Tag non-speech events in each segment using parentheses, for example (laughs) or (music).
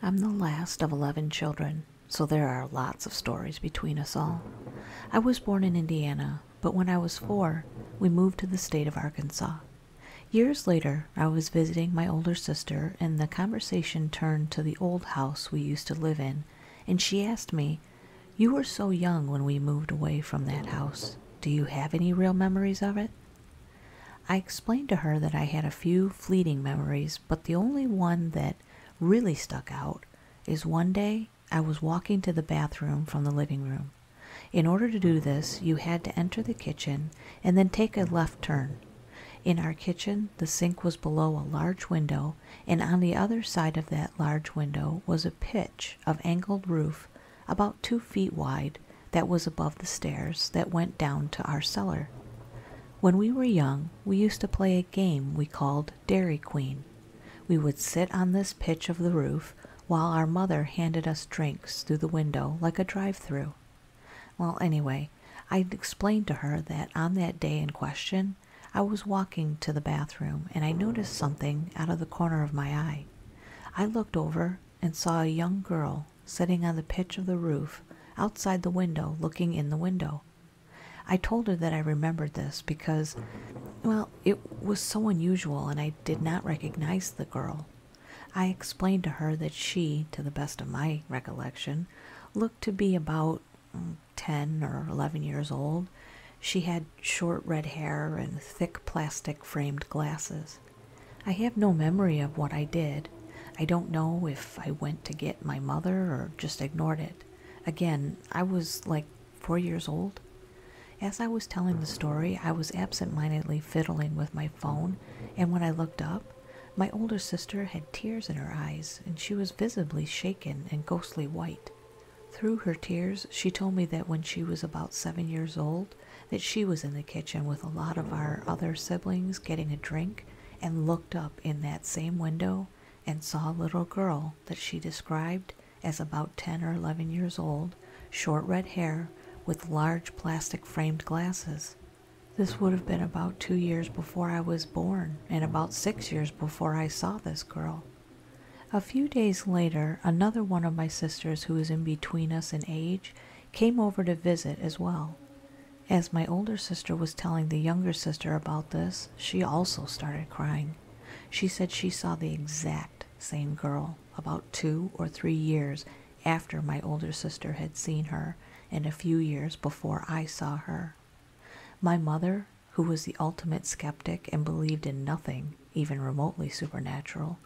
I'm the last of 11 children, so there are lots of stories between us all. I was born in Indiana, but when I was four, we moved to the state of Arkansas. Years later, I was visiting my older sister, and the conversation turned to the old house we used to live in, and she asked me you were so young when we moved away from that house. Do you have any real memories of it? I explained to her that I had a few fleeting memories, but the only one that really stuck out is one day I was walking to the bathroom from the living room. In order to do this, you had to enter the kitchen and then take a left turn. In our kitchen, the sink was below a large window, and on the other side of that large window was a pitch of angled roof about two feet wide, that was above the stairs that went down to our cellar. When we were young, we used to play a game we called Dairy Queen. We would sit on this pitch of the roof while our mother handed us drinks through the window like a drive through. Well, anyway, I explained to her that on that day in question, I was walking to the bathroom and I noticed something out of the corner of my eye. I looked over and saw a young girl sitting on the pitch of the roof outside the window looking in the window. I told her that I remembered this because, well, it was so unusual and I did not recognize the girl. I explained to her that she, to the best of my recollection, looked to be about mm, 10 or 11 years old she had short red hair and thick plastic framed glasses. I have no memory of what I did. I don't know if I went to get my mother or just ignored it. Again, I was like four years old. As I was telling the story, I was absent mindedly fiddling with my phone, and when I looked up, my older sister had tears in her eyes, and she was visibly shaken and ghostly white. Through her tears, she told me that when she was about seven years old, that she was in the kitchen with a lot of our other siblings getting a drink and looked up in that same window and saw a little girl that she described as about 10 or 11 years old, short red hair with large plastic framed glasses. This would have been about two years before I was born and about six years before I saw this girl. A few days later, another one of my sisters who was in between us in age came over to visit as well. As my older sister was telling the younger sister about this, she also started crying. She said she saw the exact same girl about two or three years after my older sister had seen her, and a few years before I saw her. My mother who was the ultimate skeptic and believed in nothing, even remotely supernatural,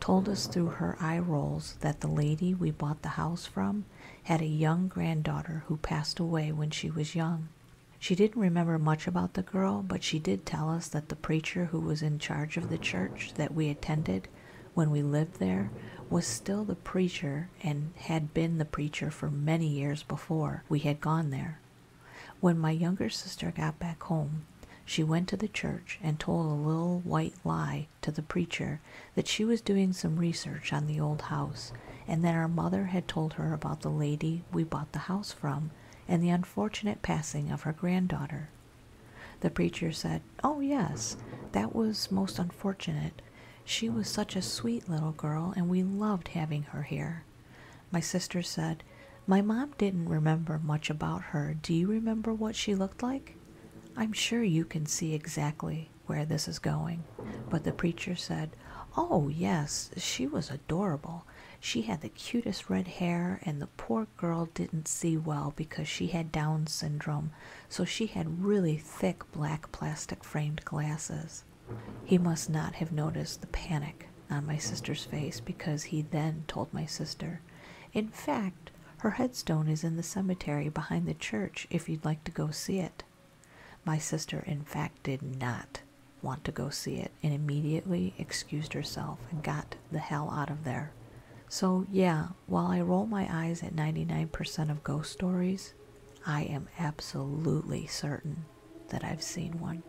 told us through her eye rolls that the lady we bought the house from had a young granddaughter who passed away when she was young. She didn't remember much about the girl, but she did tell us that the preacher who was in charge of the church that we attended when we lived there was still the preacher and had been the preacher for many years before we had gone there. When my younger sister got back home, she went to the church and told a little white lie to the preacher that she was doing some research on the old house and that our mother had told her about the lady we bought the house from and the unfortunate passing of her granddaughter. The preacher said, Oh, yes, that was most unfortunate. She was such a sweet little girl, and we loved having her here. My sister said, My mom didn't remember much about her. Do you remember what she looked like? I'm sure you can see exactly where this is going. But the preacher said, Oh, yes, she was adorable. She had the cutest red hair, and the poor girl didn't see well because she had Down syndrome, so she had really thick black plastic framed glasses. He must not have noticed the panic on my sister's face because he then told my sister. In fact, her headstone is in the cemetery behind the church if you'd like to go see it. My sister, in fact, did not want to go see it and immediately excused herself and got the hell out of there. So, yeah, while I roll my eyes at 99% of ghost stories, I am absolutely certain that I've seen one.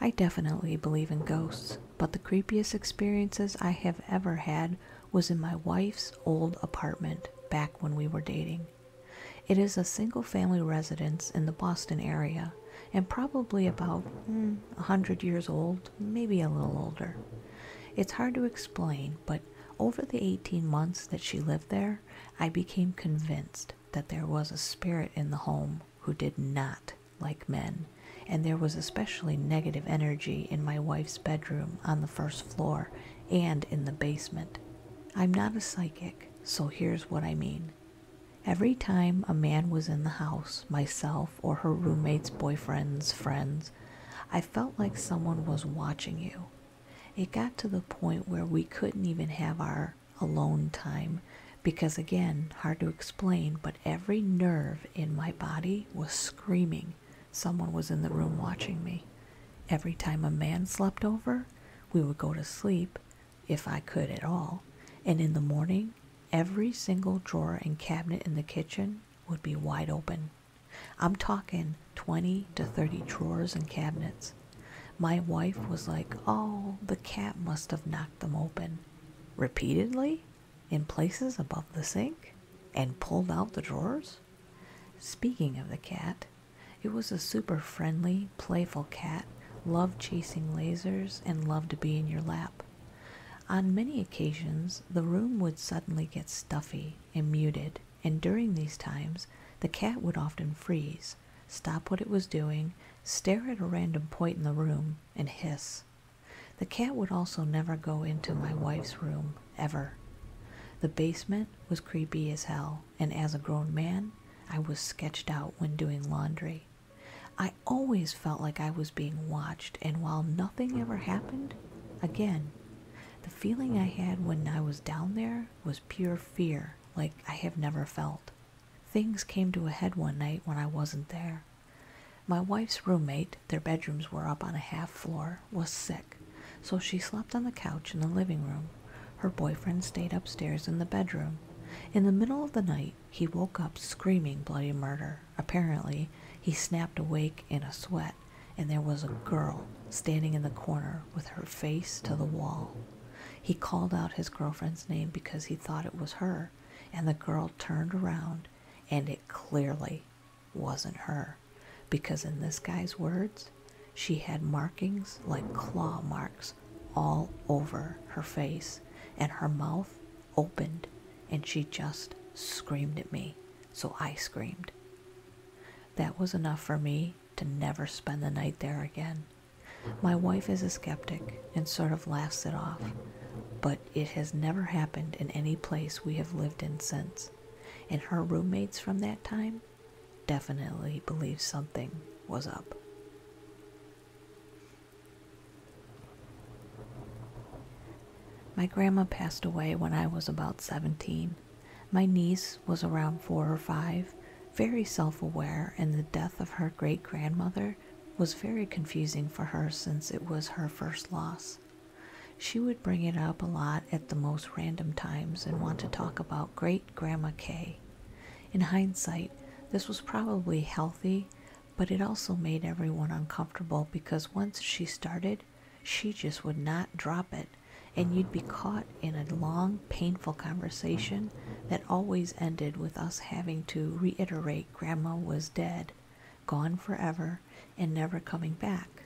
I definitely believe in ghosts, but the creepiest experiences I have ever had was in my wife's old apartment back when we were dating. It is a single family residence in the Boston area and probably about hmm, a 100 years old, maybe a little older. It's hard to explain, but over the 18 months that she lived there, I became convinced that there was a spirit in the home who did not like men, and there was especially negative energy in my wife's bedroom on the first floor and in the basement. I'm not a psychic, so here's what I mean. Every time a man was in the house, myself or her roommates, boyfriends, friends, I felt like someone was watching you. It got to the point where we couldn't even have our alone time because, again, hard to explain, but every nerve in my body was screaming someone was in the room watching me. Every time a man slept over, we would go to sleep, if I could at all, and in the morning, every single drawer and cabinet in the kitchen would be wide open. I'm talking 20 to 30 drawers and cabinets. My wife was like, Oh, the cat must have knocked them open repeatedly in places above the sink and pulled out the drawers. Speaking of the cat, it was a super friendly, playful cat, loved chasing lasers, and loved to be in your lap. On many occasions, the room would suddenly get stuffy and muted, and during these times, the cat would often freeze, stop what it was doing, stare at a random point in the room, and hiss. The cat would also never go into my wife's room, ever. The basement was creepy as hell, and as a grown man, I was sketched out when doing laundry. I always felt like I was being watched, and while nothing ever happened, Again, the feeling I had when I was down there was pure fear, like I have never felt. Things came to a head one night when I wasn't there. My wife's roommate, their bedrooms were up on a half floor, was sick, so she slept on the couch in the living room. Her boyfriend stayed upstairs in the bedroom. In the middle of the night, he woke up screaming bloody murder. Apparently, he snapped awake in a sweat, and there was a girl standing in the corner with her face to the wall. He called out his girlfriend's name because he thought it was her, and the girl turned around, and it clearly wasn't her, because in this guy's words, she had markings like claw marks all over her face, and her mouth opened and she just screamed at me, so I screamed. That was enough for me to never spend the night there again. My wife is a skeptic and sort of laughs it off, but it has never happened in any place we have lived in since, and her roommates from that time definitely believe something was up. My grandma passed away when I was about 17. My niece was around four or five, very self aware, and the death of her great grandmother was very confusing for her since it was her first loss. She would bring it up a lot at the most random times and want to talk about great grandma K. In hindsight, this was probably healthy, but it also made everyone uncomfortable because once she started, she just would not drop it, and you'd be caught in a long, painful conversation that always ended with us having to reiterate Grandma was dead, gone forever, and never coming back.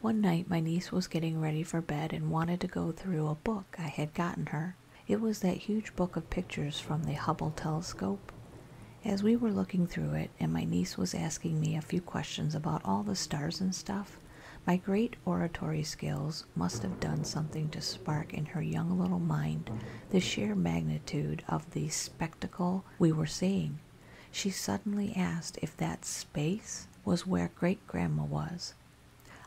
One night, my niece was getting ready for bed and wanted to go through a book I had gotten her. It was that huge book of pictures from the Hubble telescope. As we were looking through it and my niece was asking me a few questions about all the stars and stuff, my great oratory skills must have done something to spark in her young little mind the sheer magnitude of the spectacle we were seeing. She suddenly asked if that space was where great grandma was.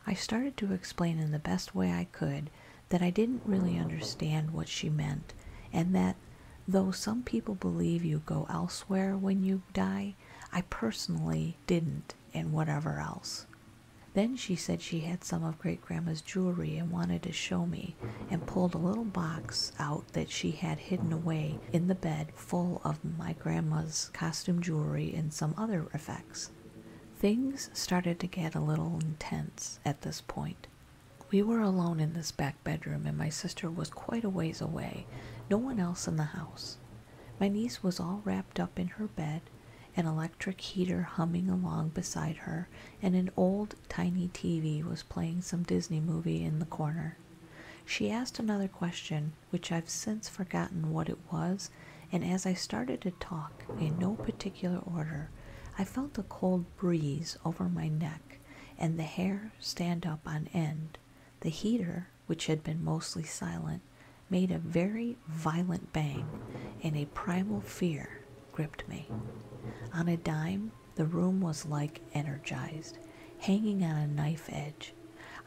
I started to explain in the best way I could that I didn't really understand what she meant and that Though some people believe you go elsewhere when you die, I personally didn't, and whatever else. Then she said she had some of Great Grandma's jewelry and wanted to show me, and pulled a little box out that she had hidden away in the bed full of my grandma's costume jewelry and some other effects. Things started to get a little intense at this point. We were alone in this back bedroom, and my sister was quite a ways away, no one else in the house. My niece was all wrapped up in her bed, an electric heater humming along beside her, and an old tiny TV was playing some Disney movie in the corner. She asked another question, which I've since forgotten what it was, and as I started to talk, in no particular order, I felt a cold breeze over my neck and the hair stand up on end. The heater, which had been mostly silent, made a very violent bang, and a primal fear gripped me. On a dime, the room was like energized, hanging on a knife edge.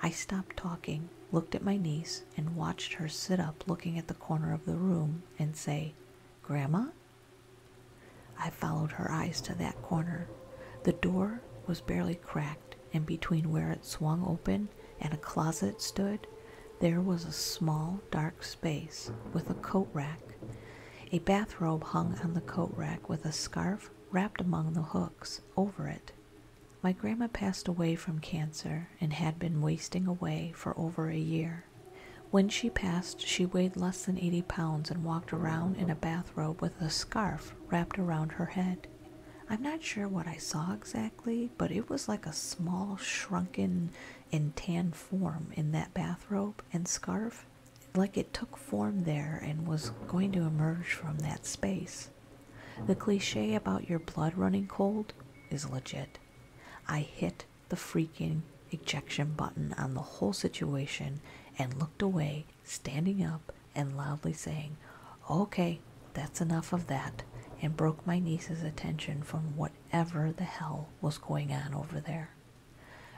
I stopped talking, looked at my niece, and watched her sit up looking at the corner of the room and say, Grandma? I followed her eyes to that corner. The door was barely cracked, and between where it swung open and a closet stood, there was a small dark space with a coat rack. A bathrobe hung on the coat rack with a scarf wrapped among the hooks over it. My grandma passed away from cancer and had been wasting away for over a year. When she passed, she weighed less than eighty pounds and walked around in a bathrobe with a scarf wrapped around her head. I'm not sure what I saw exactly, but it was like a small, shrunken, and tan form in that bathrobe and scarf, like it took form there and was going to emerge from that space. The cliche about your blood running cold is legit. I hit the freaking ejection button on the whole situation and looked away, standing up and loudly saying, Okay, that's enough of that, and broke my niece's attention from whatever the hell was going on over there.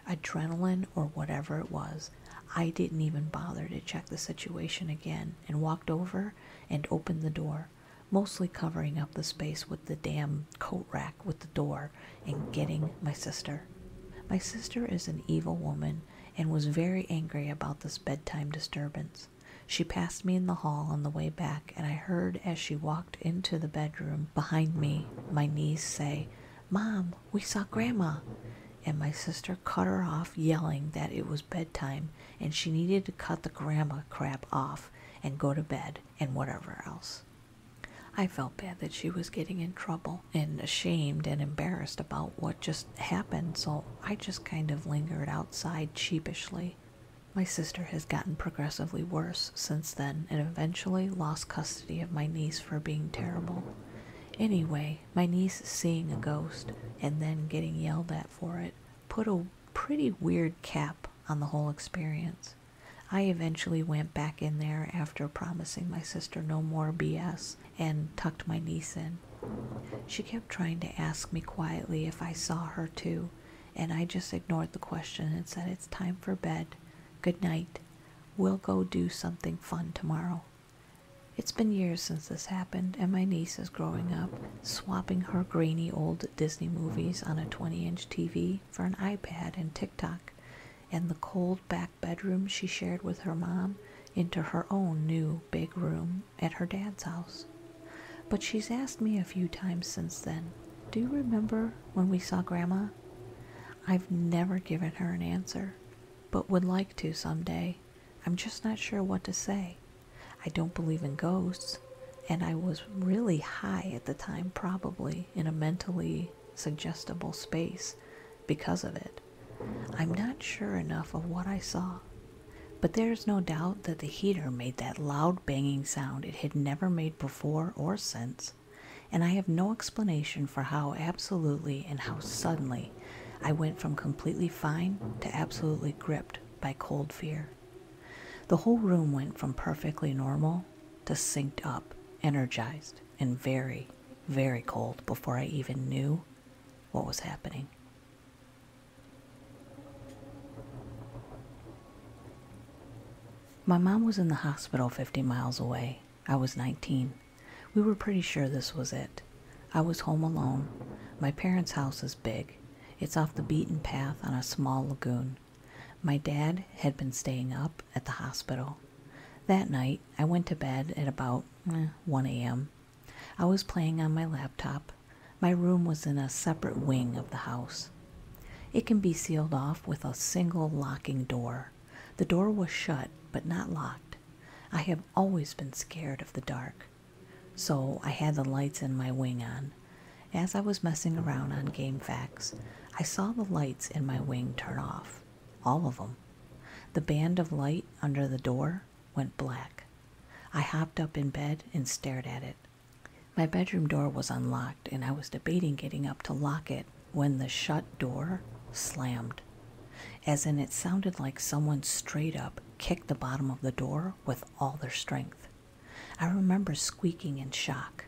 Adrenaline or whatever it was, I didn't even bother to check the situation again and walked over and opened the door, mostly covering up the space with the damn coat rack with the door and getting my sister. My sister is an evil woman and was very angry about this bedtime disturbance. She passed me in the hall on the way back, and I heard as she walked into the bedroom behind me my niece say, Mom, we saw Grandma. And my sister cut her off, yelling that it was bedtime and she needed to cut the grandma crap off and go to bed and whatever else. I felt bad that she was getting in trouble and ashamed and embarrassed about what just happened, so I just kind of lingered outside sheepishly. My sister has gotten progressively worse since then and eventually lost custody of my niece for being terrible. Anyway, my niece seeing a ghost and then getting yelled at for it put a pretty weird cap on the whole experience. I eventually went back in there after promising my sister no more BS and tucked my niece in. She kept trying to ask me quietly if I saw her too, and I just ignored the question and said, It's time for bed. Good night. We'll go do something fun tomorrow. It's been years since this happened, and my niece is growing up, swapping her grainy old Disney movies on a 20 inch TV for an iPad and TikTok, and the cold back bedroom she shared with her mom into her own new big room at her dad's house. But she's asked me a few times since then, Do you remember when we saw Grandma? I've never given her an answer, but would like to someday. I'm just not sure what to say. I don't believe in ghosts, and I was really high at the time, probably in a mentally suggestible space because of it. I'm not sure enough of what I saw, but there's no doubt that the heater made that loud banging sound it had never made before or since, and I have no explanation for how absolutely and how suddenly I went from completely fine to absolutely gripped by cold fear. The whole room went from perfectly normal to synced up, energized, and very, very cold before I even knew what was happening. My mom was in the hospital 50 miles away. I was 19. We were pretty sure this was it. I was home alone. My parents' house is big. It's off the beaten path on a small lagoon. My dad had been staying up at the hospital. That night, I went to bed at about eh, 1 a.m. I was playing on my laptop. My room was in a separate wing of the house. It can be sealed off with a single locking door. The door was shut but not locked. I have always been scared of the dark. So I had the lights in my wing on. As I was messing around on GameFAQs, I saw the lights in my wing turn off. All of them. The band of light under the door went black. I hopped up in bed and stared at it. My bedroom door was unlocked, and I was debating getting up to lock it when the shut door slammed. As in, it sounded like someone straight up kicked the bottom of the door with all their strength. I remember squeaking in shock.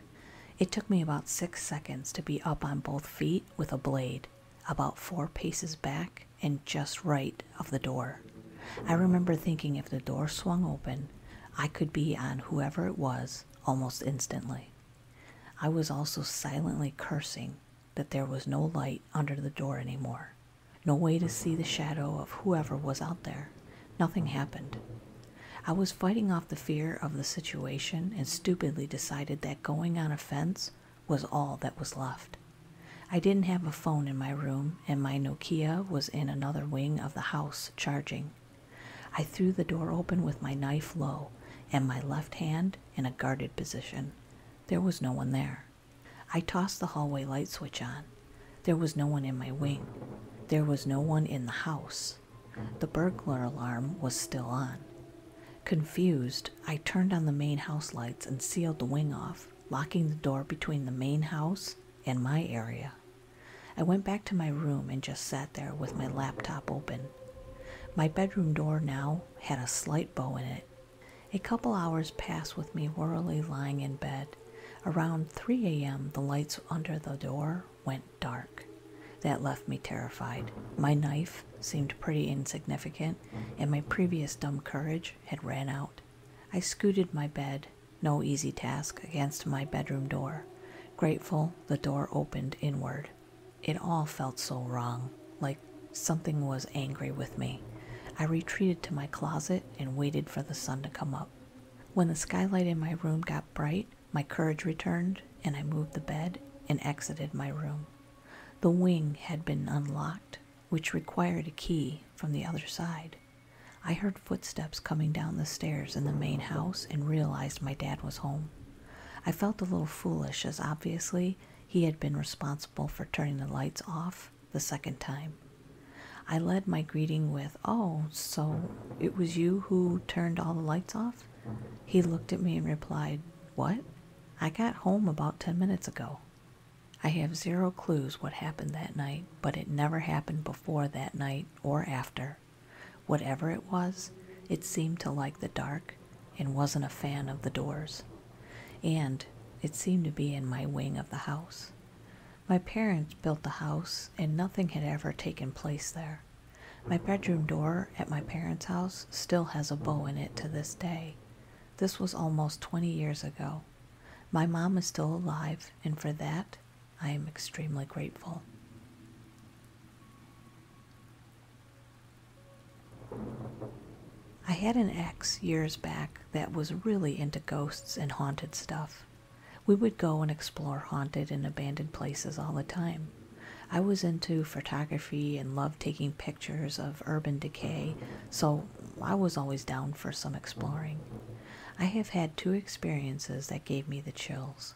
It took me about six seconds to be up on both feet with a blade, about four paces back and just right of the door. I remember thinking if the door swung open, I could be on whoever it was almost instantly. I was also silently cursing that there was no light under the door anymore, no way to see the shadow of whoever was out there. Nothing happened. I was fighting off the fear of the situation and stupidly decided that going on a fence was all that was left. I didn't have a phone in my room, and my Nokia was in another wing of the house charging. I threw the door open with my knife low and my left hand in a guarded position. There was no one there. I tossed the hallway light switch on. There was no one in my wing. There was no one in the house. The burglar alarm was still on. Confused, I turned on the main house lights and sealed the wing off, locking the door between the main house and my area. I went back to my room and just sat there with my laptop open. My bedroom door now had a slight bow in it. A couple hours passed with me wearily lying in bed. Around 3 a.m., the lights under the door went dark. That left me terrified. My knife seemed pretty insignificant, and my previous dumb courage had ran out. I scooted my bed, no easy task, against my bedroom door. Grateful, the door opened inward. It all felt so wrong, like something was angry with me. I retreated to my closet and waited for the sun to come up. When the skylight in my room got bright, my courage returned, and I moved the bed and exited my room. The wing had been unlocked, which required a key from the other side. I heard footsteps coming down the stairs in the main house and realized my dad was home. I felt a little foolish, as obviously he had been responsible for turning the lights off the second time. I led my greeting with, Oh, so it was you who turned all the lights off? He looked at me and replied, What? I got home about 10 minutes ago. I have zero clues what happened that night, but it never happened before that night or after. Whatever it was, it seemed to like the dark and wasn't a fan of the doors. And it seemed to be in my wing of the house. My parents built the house, and nothing had ever taken place there. My bedroom door at my parents' house still has a bow in it to this day. This was almost 20 years ago. My mom is still alive, and for that, I am extremely grateful. I had an ex years back that was really into ghosts and haunted stuff. We would go and explore haunted and abandoned places all the time. I was into photography and loved taking pictures of urban decay, so I was always down for some exploring. I have had two experiences that gave me the chills.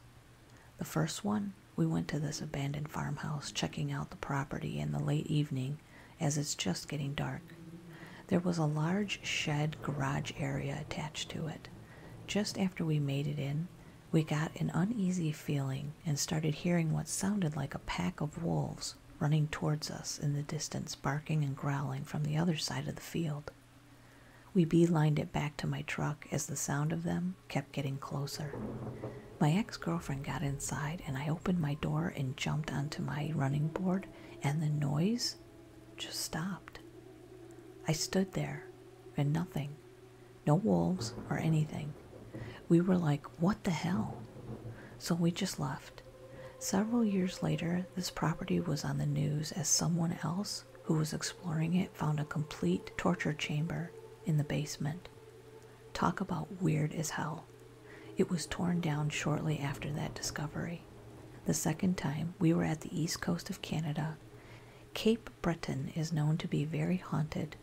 The first one, we went to this abandoned farmhouse checking out the property in the late evening as it's just getting dark. There was a large shed garage area attached to it. Just after we made it in, we got an uneasy feeling and started hearing what sounded like a pack of wolves running towards us in the distance, barking and growling from the other side of the field. We bee-lined it back to my truck as the sound of them kept getting closer. My ex girlfriend got inside, and I opened my door and jumped onto my running board and the noise just stopped. I stood there, and nothing. No wolves or anything. We were like, what the hell? So we just left. Several years later, this property was on the news as someone else who was exploring it found a complete torture chamber in the basement. Talk about weird as hell. It was torn down shortly after that discovery. The second time, we were at the east coast of Canada. Cape Breton is known to be very haunted.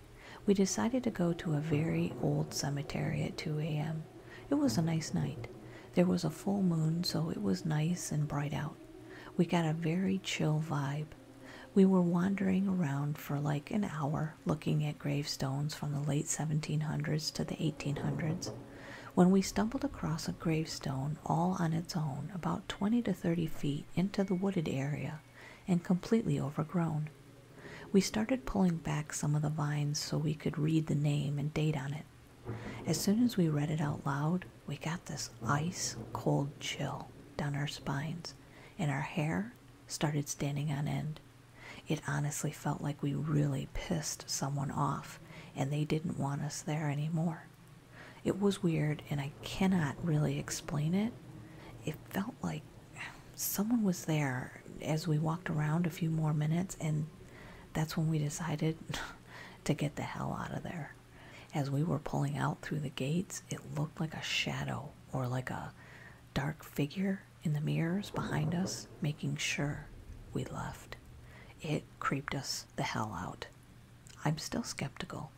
We decided to go to a very old cemetery at 2 a.m. It was a nice night. There was a full moon, so it was nice and bright out. We got a very chill vibe. We were wandering around for like an hour looking at gravestones from the late 1700s to the 1800s when we stumbled across a gravestone all on its own, about twenty to thirty feet into the wooded area and completely overgrown. We started pulling back some of the vines so we could read the name and date on it. As soon as we read it out loud, we got this ice cold chill down our spines, and our hair started standing on end. It honestly felt like we really pissed someone off and they didn't want us there anymore. It was weird and I cannot really explain it. It felt like someone was there as we walked around a few more minutes and that's when we decided (laughs) to get the hell out of there. As we were pulling out through the gates, it looked like a shadow or like a dark figure in the mirrors behind us, making sure we left. It creeped us the hell out. I'm still skeptical.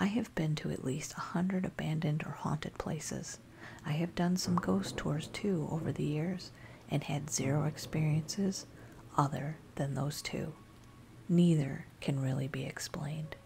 I have been to at least a hundred abandoned or haunted places. I have done some ghost tours too over the years and had zero experiences other than those two. Neither can really be explained.